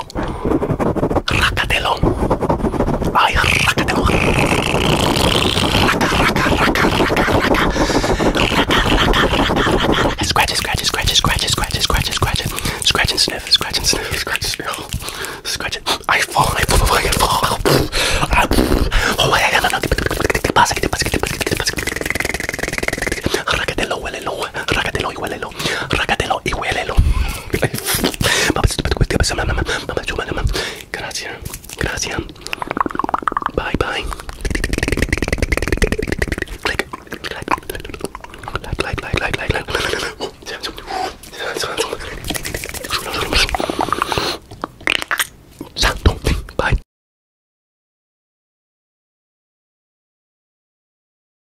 racatello, racatello, ay racatello, raca, raca, raca, raca, raca, raca, raca, raca, raca, scratch it, scratch it, scratch it, scratch it, scratch it, scratch it, scratch it, scratch and sniff, scratch and sniff, scratch and sniff, scratch it, I fall, I fall, I fall, I fall, I fall, Racatello huele, Racatelo y huelelo Gracias, gracias. Bye, bye. Like, like, bye.